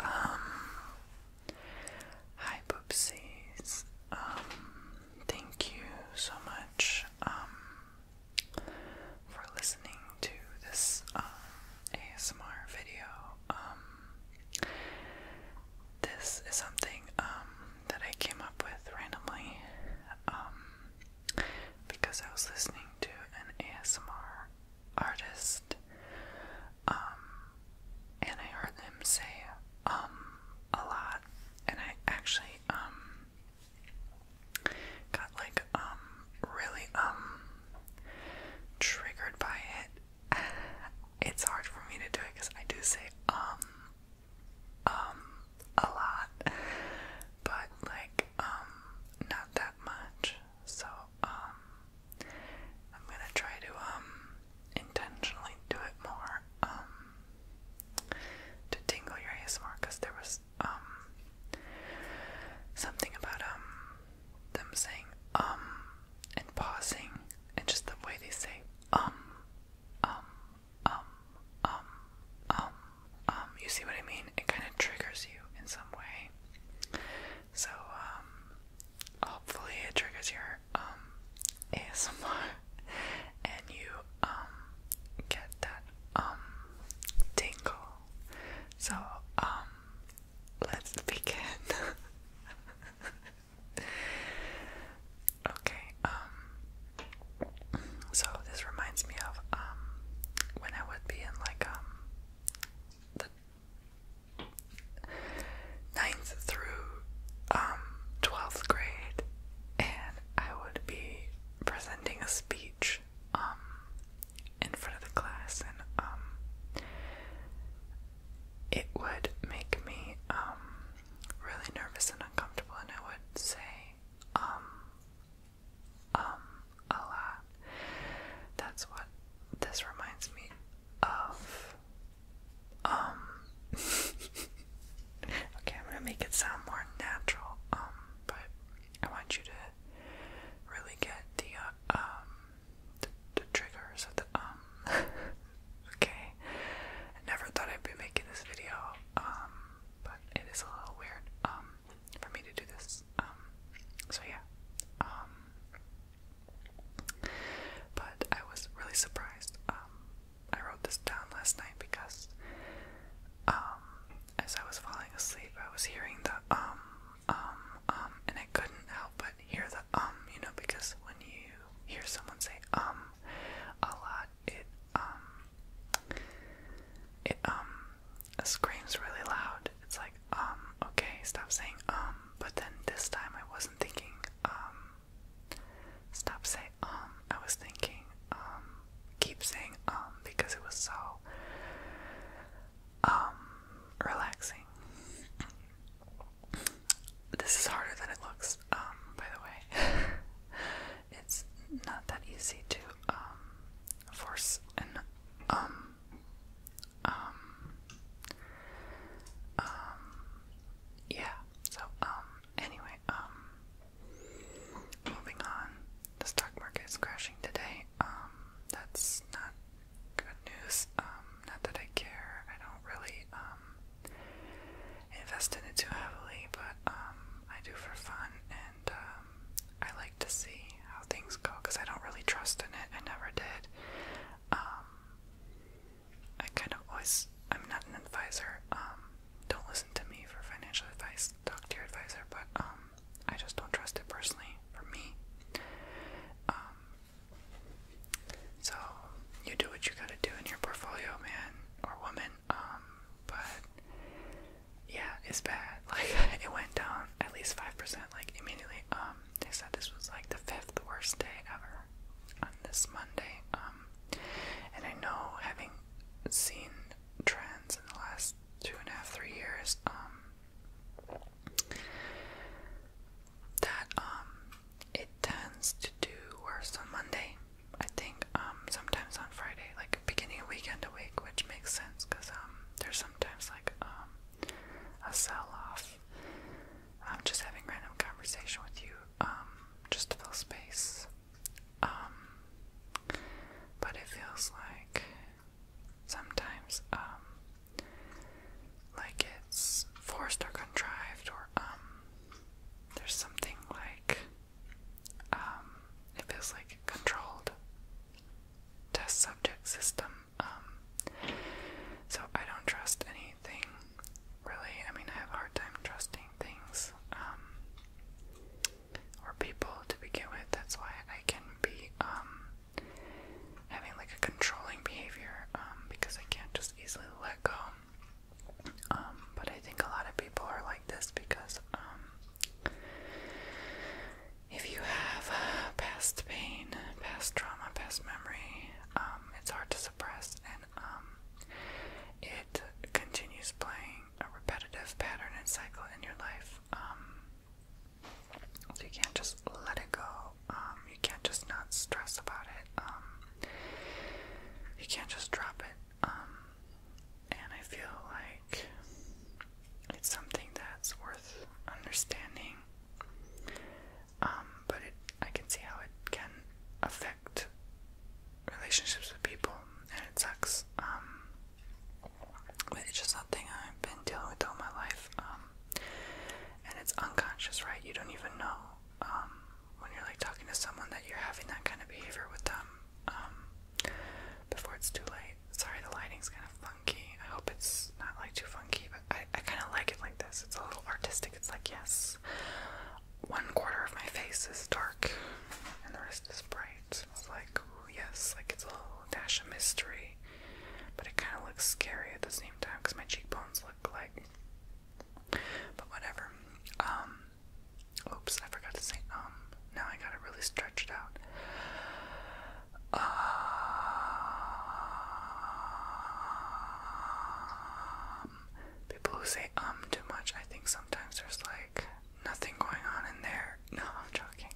Um, hi, Poopsies. Um, thank you so much um, for listening to this ASMR video. this is something that I came up with randomly because I was listening to an ASMR artist, um, and I heard them say um a lot, and I actually um got like um really um triggered by it. It's hard for me to do it because I do say um um a lot, but like um not that much. So, um, I'm gonna try to, um, intentionally do it more, um, to tingle your ASMR because there was, um, something about, um, them saying, um, and pausing, and just the way they say, um, um, um, um, um, um, you see what I mean? It kind of triggers you in some way. So, um, hopefully it triggers your, um, ASMR and you, get that, um, tingle. So, let's begin. okay, so this reminds me of um, when I would be in like um ninth through um, twelfth grade and I would be presenting a speech um in front of the class and um it would make me um really nervous and uncomfortable and I would say um um, a lot. That's what this reminds me of. Um, okay, I'm gonna make it sound more natural, um, but I want you to really get the uh, the, triggers of the okay. never thought I'd be making this video, but it is a little weird for me to do this. Um, so yeah. Um, but I was really surprised. Um, I wrote this down last night because as I was falling asleep, I was hearing the um, um, um, and I couldn't help but hear the um, you know, because when you hear someone say um a lot, it um it um screams really loud. It's like um okay, stop saying um, but then this time I wasn't thinking um stop saying um. I was thinking um keep saying um because it was so um relaxing. This is harder than it looks, um, by the way. it's not that easy to um, force an um, um, um, yeah. So, um, anyway, um, moving on. The stock market crashing today. Um, that's not good news. Um, not that I care. I don't really, um, invest in it too heavily, but, um, I do for fun and um, I like to see how things go because I don't really trust in it. I never did. Um, I kind of always, I'm not an advisor. Um, don't listen to me for financial advice. Talk to your advisor, but I just don't trust it personally for me. so you do what you gotta do in your portfolio, man or woman. Um, but yeah, it's bad. Like it went down at least five percent. Like immediately. Um, they said this was like the fifth worst day ever on this Monday. Um, and I know having seen trends in the last two and a half, three years. Um, that um, it tends to do worse on Monday. I think um, sometimes on Friday, like beginning of weekend a week, which makes sense because um there's sometimes like um a sell off. I'm just having random conversation with you, um, just to fill space. Um, but it feels like sometimes um like it's forced or contrived or um there's something like um, it feels like a controlled test subject system. Um, so I don't trust anything really. I mean, I have a hard time trusting things um, or people to begin with. That's why I can be um, having like a controlling behavior um, because I can't just easily let go. Um, but I think a lot of people are like this because um, if you have uh, past pain, past trauma, past memory, um, it's hard to suppress, and um, it continues playing a repetitive pattern and cycle in your life. Um, so you can't just let it go. you can't just not stress about it. you can't just drop it. And I feel like it's something that's worth understanding. Um, but it, I can see how it can affect relationships with people, and it sucks. Um, but it's just something I've been dealing with all my life. Um, and it's unconscious, right? You don't even know when you're like talking to someone that you're having that kind of behavior with them um, before it's too late. Sorry, the lighting's kind of funky. I hope it's not like too funky, but I, I kind of like it like this. It's a little artistic. It's like, yes, one quarter of my face is dark and the rest is bright. It's like, ooh, yes, like it's a little dash of mystery, but it kind of looks scary at the same time because my cheekbones look like. But whatever. Um, oops, I forgot to say um. Now I got it really stretched out. um, people who say um too much, I think sometimes there's like nothing going on in there. No, I'm joking.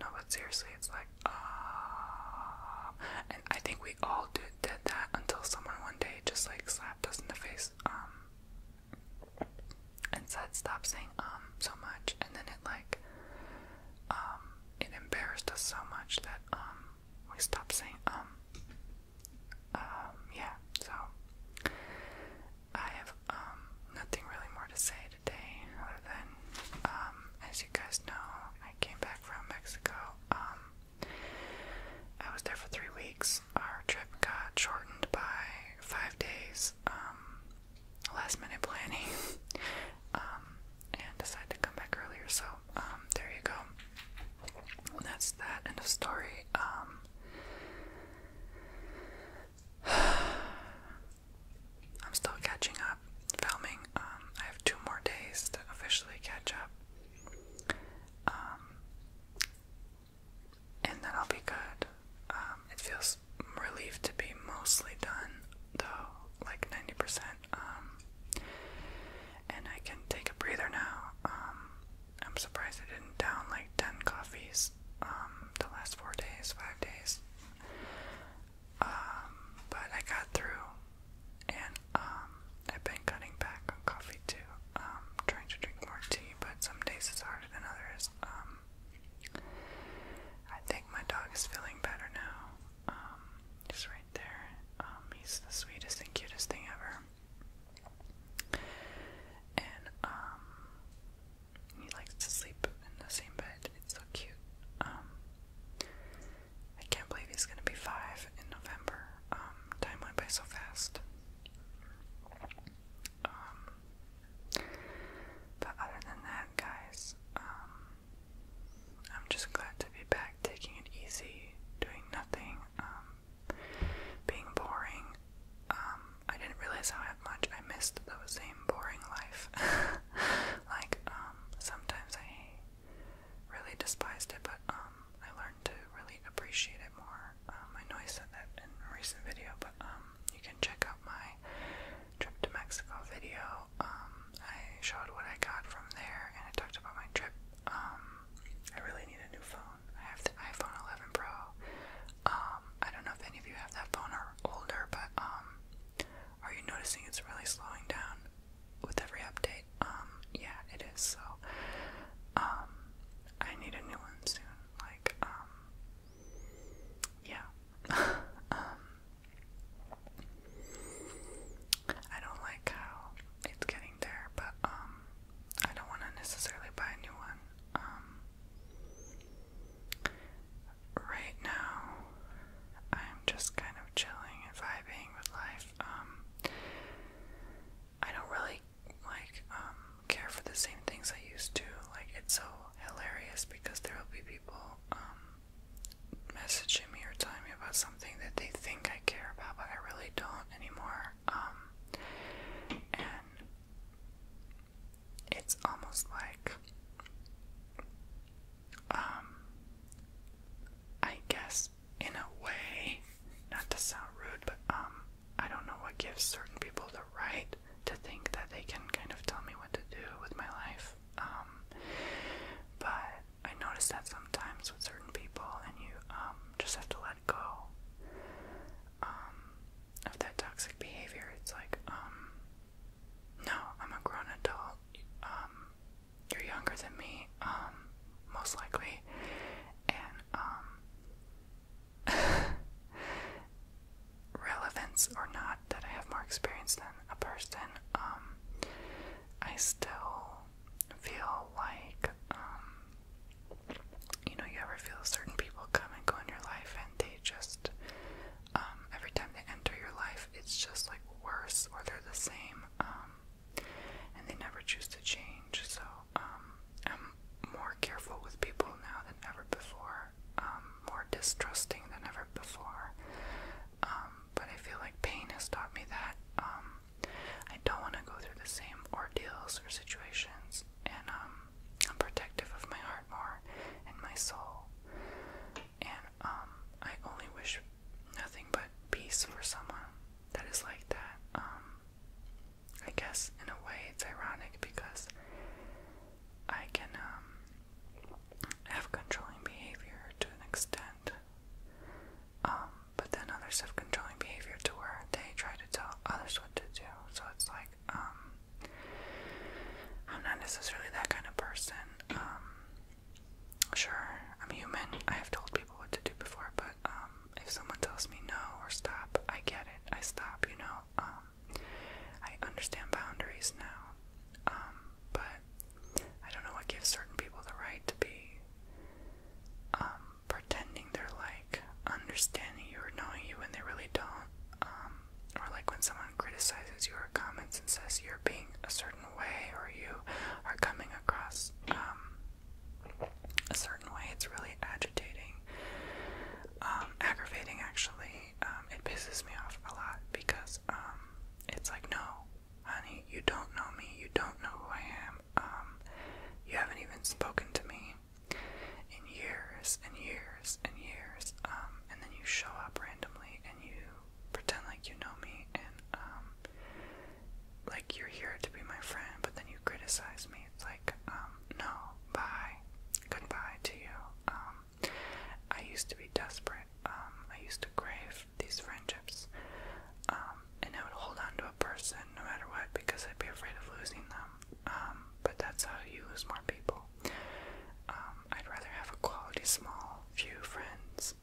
No, but seriously, it's like uh, and I think we all did that until someone one day just like slapped us in the face. Um, and said stop saying um so much and then it like um it embarrassed us so much that um we stopped saying um um yeah so I have um nothing really more to say today other than um as you guys know I came back from Mexico um I was there for three weeks our trip got shortened by five days, um, last minute planning, um, and decided to come back earlier. So, um, there you go. that's that end of story. I'm still catching up filming. I have two more days to officially catch up and then I'll be good. Um, it feels relieved to be mostly done, though, like 90%. Um, and I can take a breather now. Um, I'm surprised I didn't down like 10 coffees the last four days, five days. but I got through, and I've been cutting back coffee too. i um, trying to drink more tea, but some days it's harder than others. Um, I think my dog is feeling better now. Um, he's right there. he's the sweetest and cutest thing ever. And he likes to sleep in the same bed. It's so cute. I can't believe he's gonna be five in November. time went by so fast. Um, but other than that, guys, um, I'm just glad to be back, taking it easy, doing nothing, um, being boring. I didn't realize how much I missed the same boring life. like, sometimes I really despised it, but um, I learned to really appreciate it more. Um, I know I said that in a recent video, but um, you can check out my trip to Mexico video. I showed what I got from there, and I talked about my trip. I really need a new phone. I have the iPhone 11 Pro. I don't know if any of you have that phone or older, but are you noticing it's really slowing down with every update? yeah, it is. So, I need a new one soon. Like, um, yeah. Um, I don't like how it's getting there, but um, I don't want to necessarily buy a new one. right now, I'm just kind of chilling and vibing with life. I don't really like um care for the same things I used to. Like it's so hilarious because there will be people um messaging me or telling me about something that they think I care about, but I really don't anymore. Um, and it's almost like, um, I guess in a way, not to sound rude, but um, I don't know what gives certain people the right to think that they can kind of tell me what to do with my life. Um, but I notice that sometimes with certain people, and you um just have to let go um of that toxic behavior. It's like um, no, I'm a grown adult. Um, you're younger than me. Um, most likely. And um relevance or not that I have more experience than a person, um I still feel like um you know, you ever feel certain people come and go in your life and they just um every time they enter your life it's just like worse or they're the same. Um and they never choose to change. So um, I'm more careful with people now than ever before, um, more distrusting than ever before. Um, but I feel like pain has taught me that um, I don't want to go through the same ordeals or situations, and I'm protective of my heart more and my soul. And I only wish nothing but peace for someone that is like that. I guess in a way it's ironic because I can um, have controlling behavior to an extent, um, but then others have controlling behavior to where they try to tell others what to do. So it's like um, I'm not necessarily that kind of person. Um, sure, I'm human. I have told people what to do before, but if someone tells me no or stop, I get it. I stop, you know. Um, I understand boundaries now. Um, but I don't know what gives certain people the right to be um, pretending they're like understanding you or knowing you when they really don't. or like when someone criticizes you or comments and says you're being a certain way or you are coming across a certain way. It's really agitating, um, aggravating actually. Um, it pisses me off a lot because um, it's like, no, honey, you don't know me. You don't know who I am. you haven't even spoken to me in years and years and years. and then you show up randomly and you pretend like you know me and like you're here to be my friend, but then you criticize me. It's like, um, no, bye, goodbye to you. Um, I used to be desperate. Um, I used to crave these friendships, and I would hold on to a person no matter what because I'd be afraid of losing them. but that's how you lose more people. I'd rather have a quality small few friends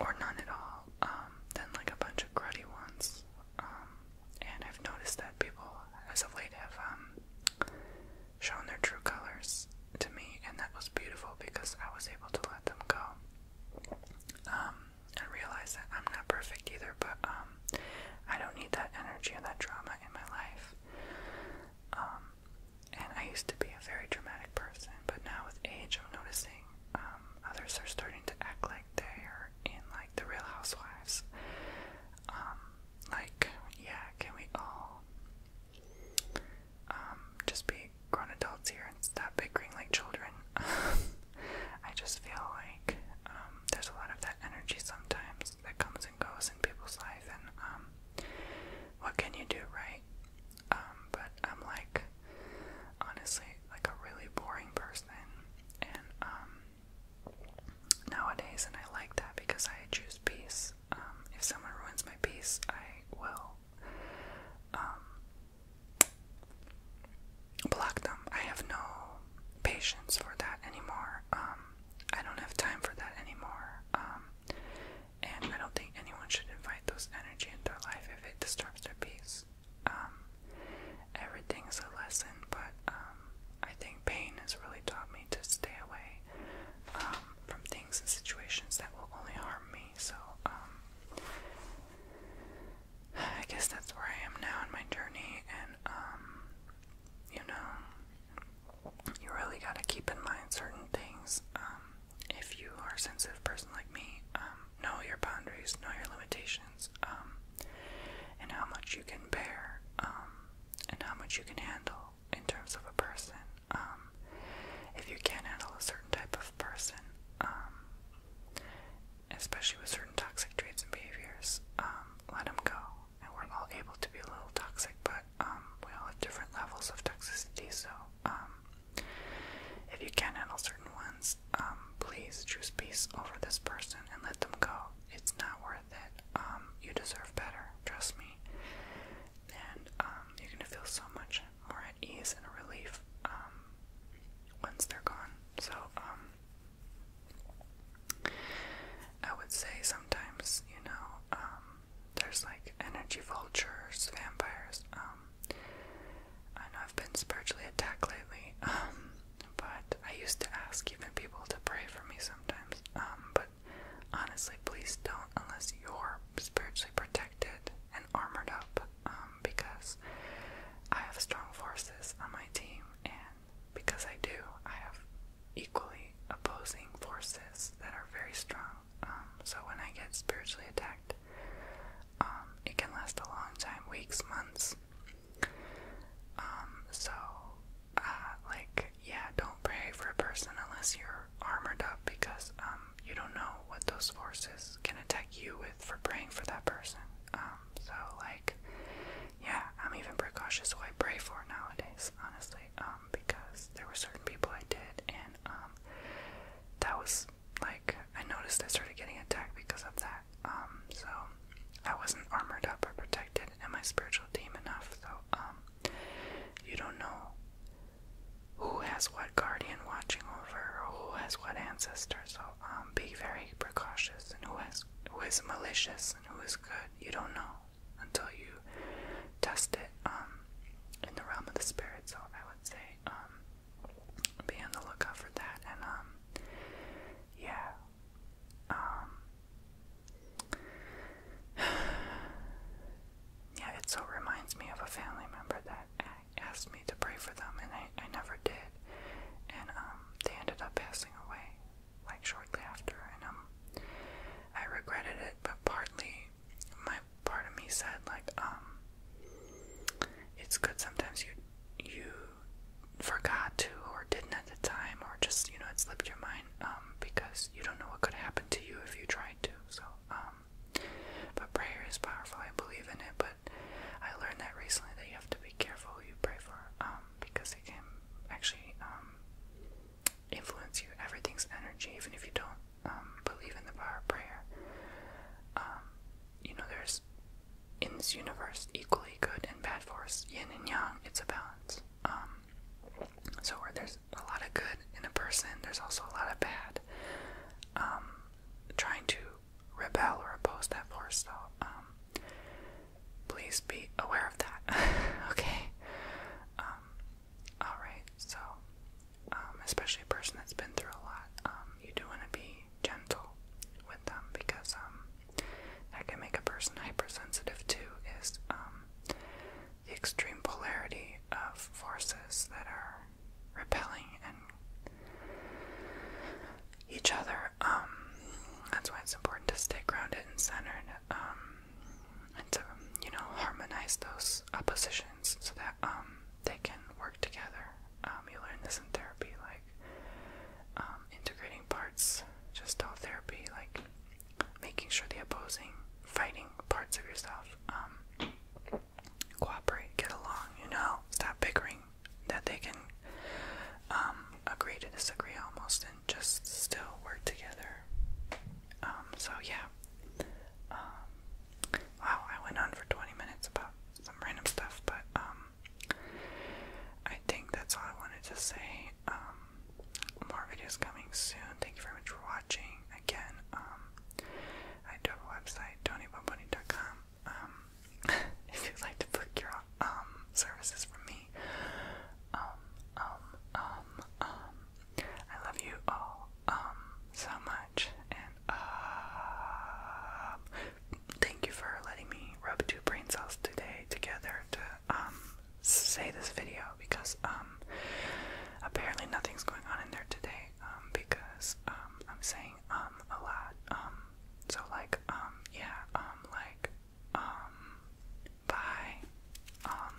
or none at all, um, than like a bunch of cruddy ones. Um, and I've noticed that people, as of late, have um, shown their true colors to me, and that was beautiful because I was able to let them go. Um, and realize that I'm not perfect either, but um, I don't need that energy and that drama in my life. Um, and I used to be a very dramatic person, but now with age, I'm noticing amazing. Um, others are starting to act like they are in like the Real Housewives. Um, like, yeah, can we all um just be grown adults here and stop bickering like children? I just feel like um, there's a lot of that energy sometimes that comes and goes in people's life, and um, what can you do, right? Um, but I'm like honestly like a really boring person and um nowadays and I like that because I choose peace. Um if someone ruins my peace, I will um block them. I have no patience for that anymore. Um I don't have time for that anymore. Um and I don't think anyone should invite those energy in their life if disturbs their peace. Everything is a lesson, but um, I think pain has really taught me to stay away um, from things and situations that will only harm me. So um, I guess that's where I am now in my journey, and you know, you really gotta keep in mind certain things if you are a sensitive person like me, um, know your boundaries, know your limitations, um, and how much you can bear, um, and how much you can handle in terms of a person. if you can't handle a certain type of person, especially with certain toxic traits and behaviors, let them go. And we're all able to be a little toxic, but we all have different levels of toxicity, so um, if you can't handle certain ones, um, please choose peace over this person and let them go. It's not worth it. Um, you deserve better, trust me. And you're gonna feel so much more at ease and relief once they're gone. So I would say sometimes, you know, there's like energy vultures, vampires. I know I've been spiritually attacked lately, um, but I used to ask even people to pray for me sometimes, um, but honestly, please don't unless you're spiritually protected and armored up, um, because I have strong forces on my team, and because I do, I have equally opposing forces that are very strong um, so when I get spiritually attacked, um, it can last a long time, weeks, months. Um, so, uh, like, yeah, don't pray for a person unless you're armored up because, you don't know what those forces can attack you with for praying for that person. so, like, yeah, I'm even precautious who I pray for nowadays, honestly, because there were certain people I did, and, that was like I noticed I started getting attacked because of that. Um, so I wasn't armored up or protected and my spiritual team enough. So um, you don't know who has what guardian watching over, or who has what ancestor. So um, be very precautious and who has who is malicious and who is good. You don't know until you test it um, in the realm of the spirit. So I would say um, be on the lookout for that, and, um, yeah, um, yeah, it so reminds me of a family member that asked me to pray for them, and I, I never did, and, um, they ended up passing away, like, shortly after, and, um, I regretted it, but partly my part of me said like um it's good sometimes you you forgot to or didn't at the time or just you know it slipped your mind um because you don't know what could happen to you if you tried to so um but prayer is powerful I believe in it but I learned that recently that you have to be careful who you pray for um because it can actually um influence you everything's energy even if you don't um, believe in the power of prayer. Um, you know, there's in this universe equally good and bad force, yin and yang. It's a balance. Um, so there's a lot of good in a person, there's also a lot of bad. trying to rebel or oppose that force, So please be aware of that. okay. All right, so um, especially a person that's been through a lot, um, you do want to be gentle with them because um, that can make a person hypersensitive too. Is the extreme polarity of forces that are repelling each other. that's why it's important to stay grounded and centered. and to you know harmonize those oppositions so that um, they can work together. Um, you learn this in therapy, like um, integrating parts, just all therapy, like making sure the opposing, fighting parts of yourself cooperate, get along, you know, stop bickering, that they can agree to disagree almost and just still work together. so yeah wow, I went on for 20 minutes about some random stuff, but um, I think that's all I wanted to say. Um, more videos coming soon. Thank you very much for watching. Again, um, I do have a website, tonybomboni.com. Um, if you'd like to book your um services from me, um, um, um, um. I love you all um, so much and uh, thank you for letting me rub two brain cells today together to um, say this video because um apparently nothing's going on in there today um because um I'm saying um a lot um so like um yeah like bye um